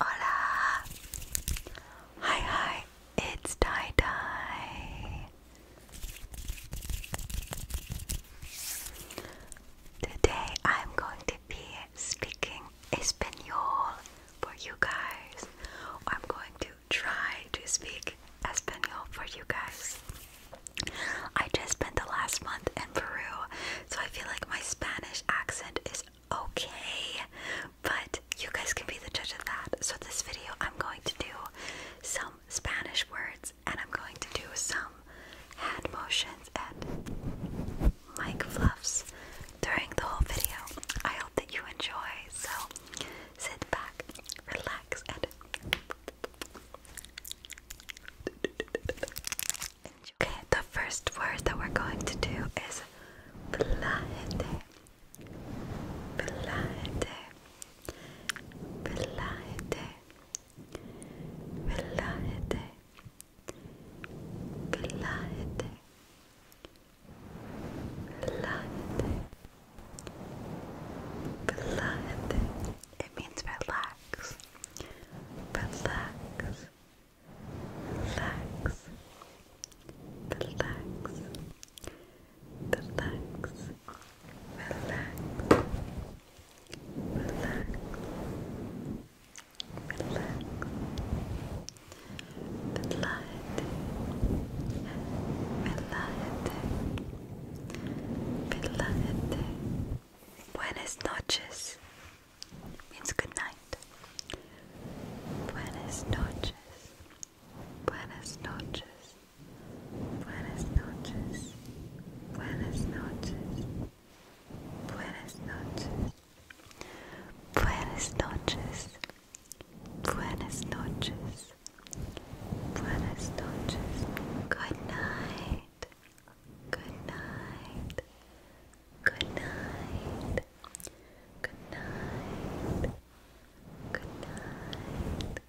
Hola! Hi, hi, it's Dai Dai. Today I'm going to be speaking Espanol for you guys. I'm going to try to speak Espanol for you guys. I just spent the last month in Peru, so I feel like my Spanish accent is okay, but you guys can be the judge of that. So, this video, I'm going to do some Spanish words and I'm going to do some hand motions and mic fluffs during the whole video. I hope that you enjoy, so sit back, relax, and enjoy. Okay, the first word that we're going to do is Blahete. Blahete. Blahete. Blahete. Relájate. Relájate. Relájate. It means Relax. Relax. Relax. Relax. Relax. Relax relax, relax. Velayete, velayete, velayete. noches means good night. Buenas noches, buenas noches, buenas noches. Buenas noches. Buenas noches. Buenas noches. Buenas noches. Buenas noches. Good night. Good night. Good night. Good night. Good night. Good night.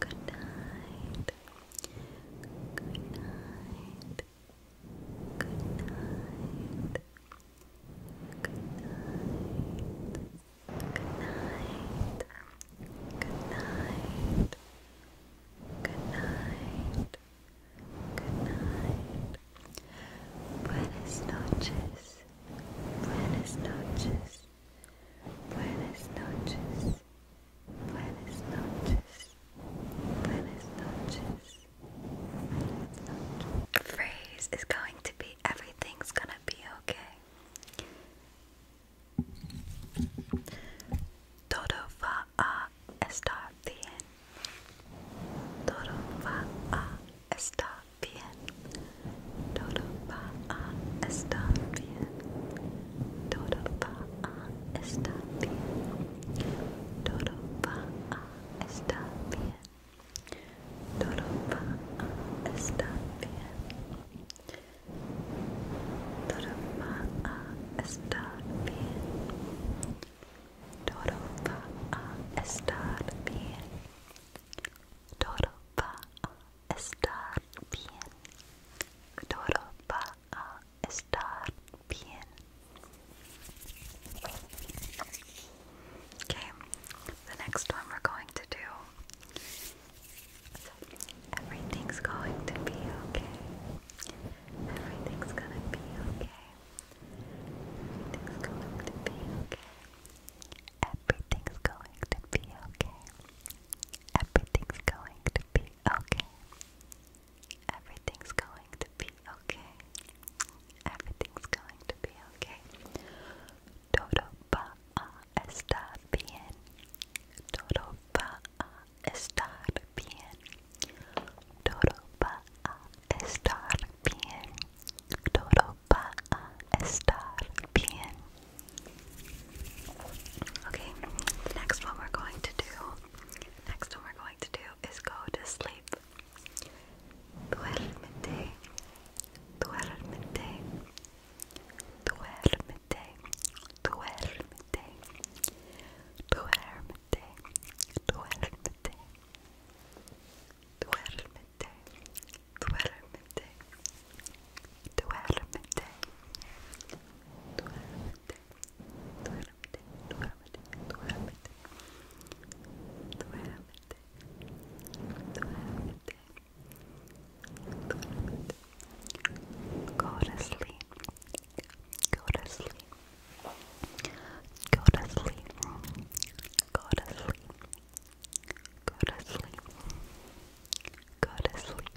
Good night. Good night. Good night. Good night. Good night. Good night. Good night. Good night. Buenas noches. Buenas noches. Buenas noches. Buenas noches. Buenas noches. Buenas noches. The phrase is going to be everything's gonna be okay. Todo va a estar bien. Todo va a estar bien. Todo va a estar bien. Todo va a estar bien. Todo va a estar bien. Todo va a estar bien. Todo va a estar bien. Todo va a estar bien. Todo va a estar bien. Todo va a estar bien. Okay, the next one we're going to do. Everything's going to be okay. Everything's gonna be okay. Everything's going to be okay. Everything's going to be okay. Everything's going to be okay. Everything's going to be okay. Everything's going to be okay. Todo va a estar bien. Todo va a estar bien. Todo va a estar bien. Todo Okay, the next one we're going to do, next one we're going to do is go to sleep. Duérmete, duérmete, duérmete, duérmete, duérmete, duérmete duérmete, duérmete, duérmete, duérmete, duérmete, duérmete, duérmete, duérmete, duérmete, duérmete. Go to sleep. Go to sleep. Go to sleep. Go to sleep. Go to sleep. Go to sleep.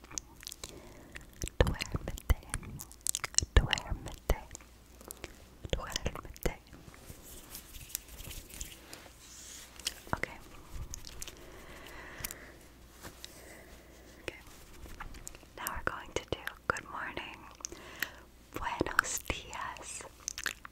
Duérmete. Duérmete. Duérmete. Okay. Okay. Now we're going to do good morning. Buenos dias.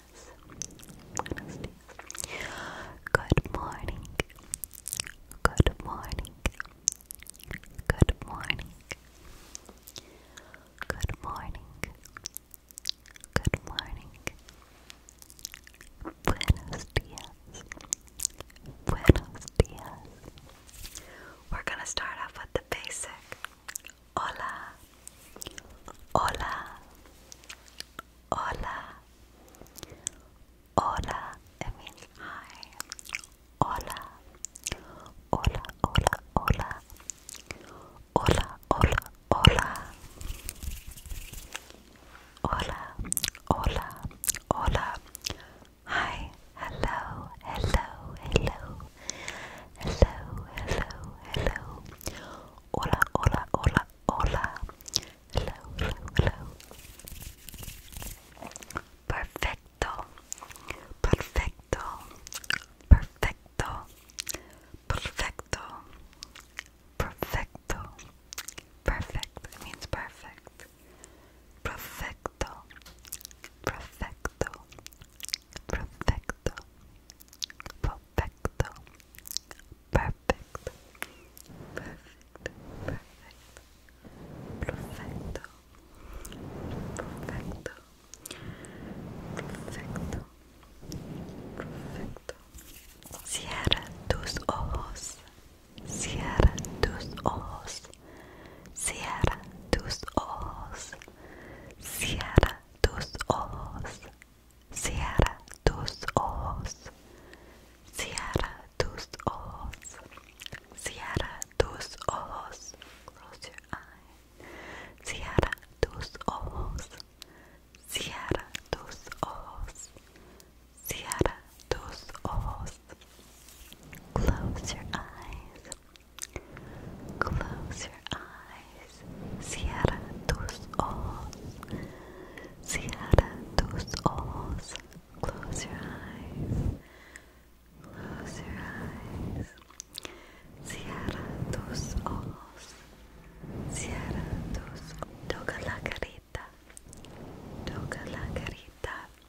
Good morning. Good morning. Good morning. Good morning. Good morning. Buenos dias. Buenos dias. We're going to start off with the basic Hola, hola, hola, hola. It hi. hola, hola, hola, hola, hola, hola, hola, hola. Hi, hello, hello, hello hello, hello, hello. Hola, hola, hola, hola. Hello, hello, hello. Perfecto, perfecto, perfecto, perfecto, perfecto, perfect. It means perfect. Perfecto, perfecto, perfecto, perfecto, perfecto, perfecto, perfecto, perfecto, perfecto, perfecto, perfecto. Cierra tus ojos, cierra tus ojos, cierra tus ojos, cierra tus ojos, cierra tus ojos, cierra tus ojos, cierra tus ojos, close your eye, cierra tus ojos, cierra tus ojos, cierra tus ojos, close your eyes. Close your eyes. Cierra tus ojos. Cierra tus ojos. Close your eyes. Close your eyes. Cierra tus ojos. Cierra tus ojos. Toca la carita. Toca la carita.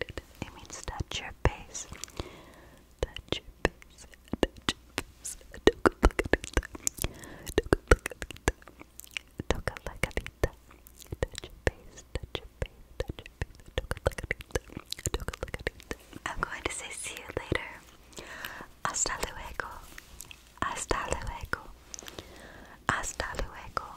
it. means touch your face. Touch your face. Touch your face. I'm going to say see you later. Hasta luego. Hasta luego. Hasta luego.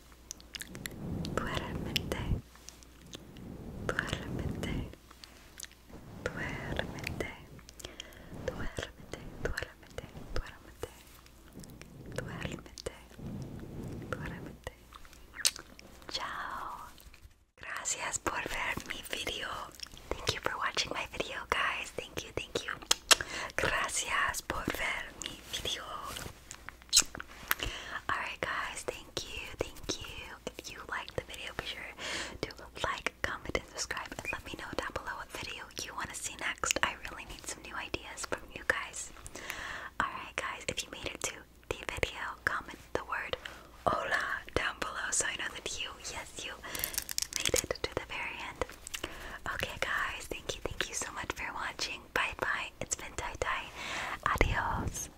Duérmete, realmente, duérmete, realmente, duérmete, realmente, duérmete, realmente, ciao. Gracias por ver mi video. Thank you for watching my video, guys. Thank you, thank you. Gracias por ver mi video. Alright, guys, thank you, thank you. If you liked the video, be sure to like, comment, and subscribe. And let me know down below what video you want to see next. I really need some new ideas from you guys. Alright, guys, if you made it to the video, comment the word hola down below so I know that you, yes, you made it to the very end. Okay, guys, thank you, thank you so much for watching. Bye bye. It's been Tai Tai. Adios.